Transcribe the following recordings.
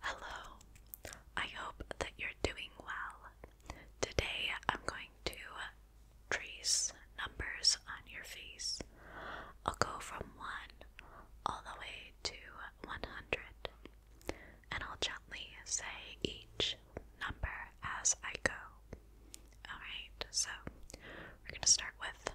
Hello, I hope that you're doing well. Today I'm going to trace numbers on your face. I'll go from 1 all the way to 100, and I'll gently say each number as I go. Alright, so we're going to start with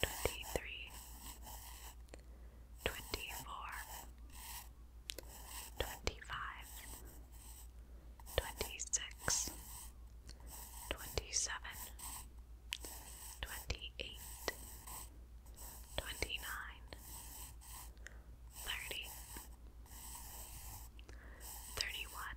twenty-three, twenty-four, twenty-five, twenty-six, twenty-seven, twenty-eight, twenty-nine, thirty, thirty-one.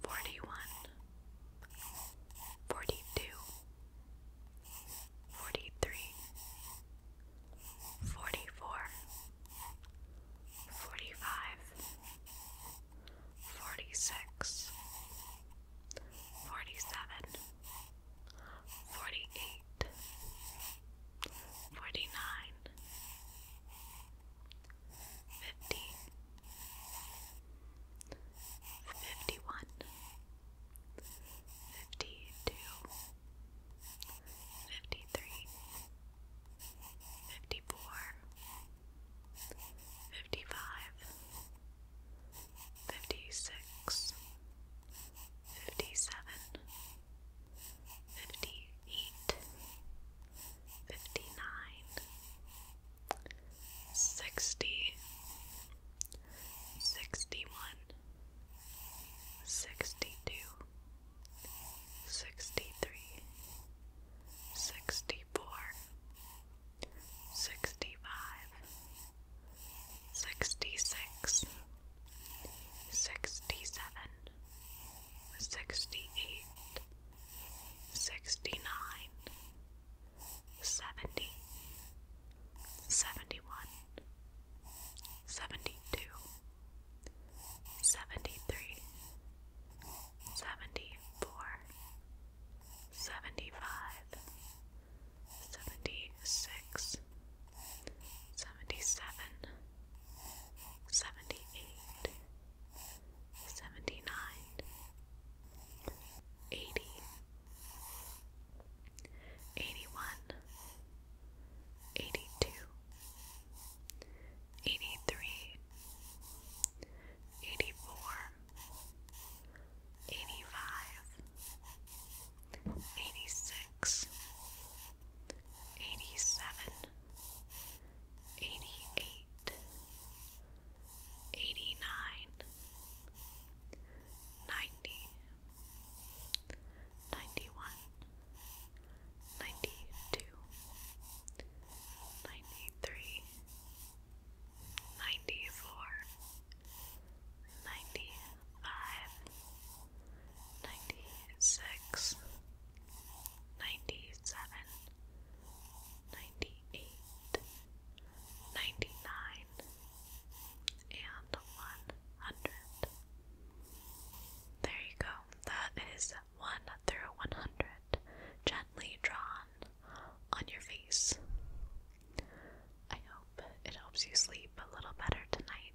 Forty-one, forty-two, forty-three, forty-four, forty-five, forty-six, forty-seven, forty-eight, forty-nine, Fifty one. Fifty two. Fifty three. Fifty four. Fifty five. Fifty six. Fifty seven. Fifty eight. Fifty nine sixty, sixty one, sixty two, sixty three, sixty four, sixty five, sixty six, sixty seven, sixty eight sixty nine, seventy, seventy one, seventy two, seventy three, seventy four, seventy five, seventy six, seventy seven, seventy eight. 78 seventy nine, eighty, eighty one, eighty two, eighty three, eighty four, eighty five, eighty six, eighty seven, eighty eight. 89 eighty nine, ninety, ninety one, ninety two, ninety three, ninety four, ninety five, ninety six, ninety seven. 96 98, 99, and 100. There you go. That is 1 through 100, gently drawn on your face. I hope it helps you sleep a little better tonight,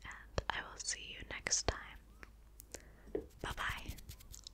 and I will see you next time. Bye bye.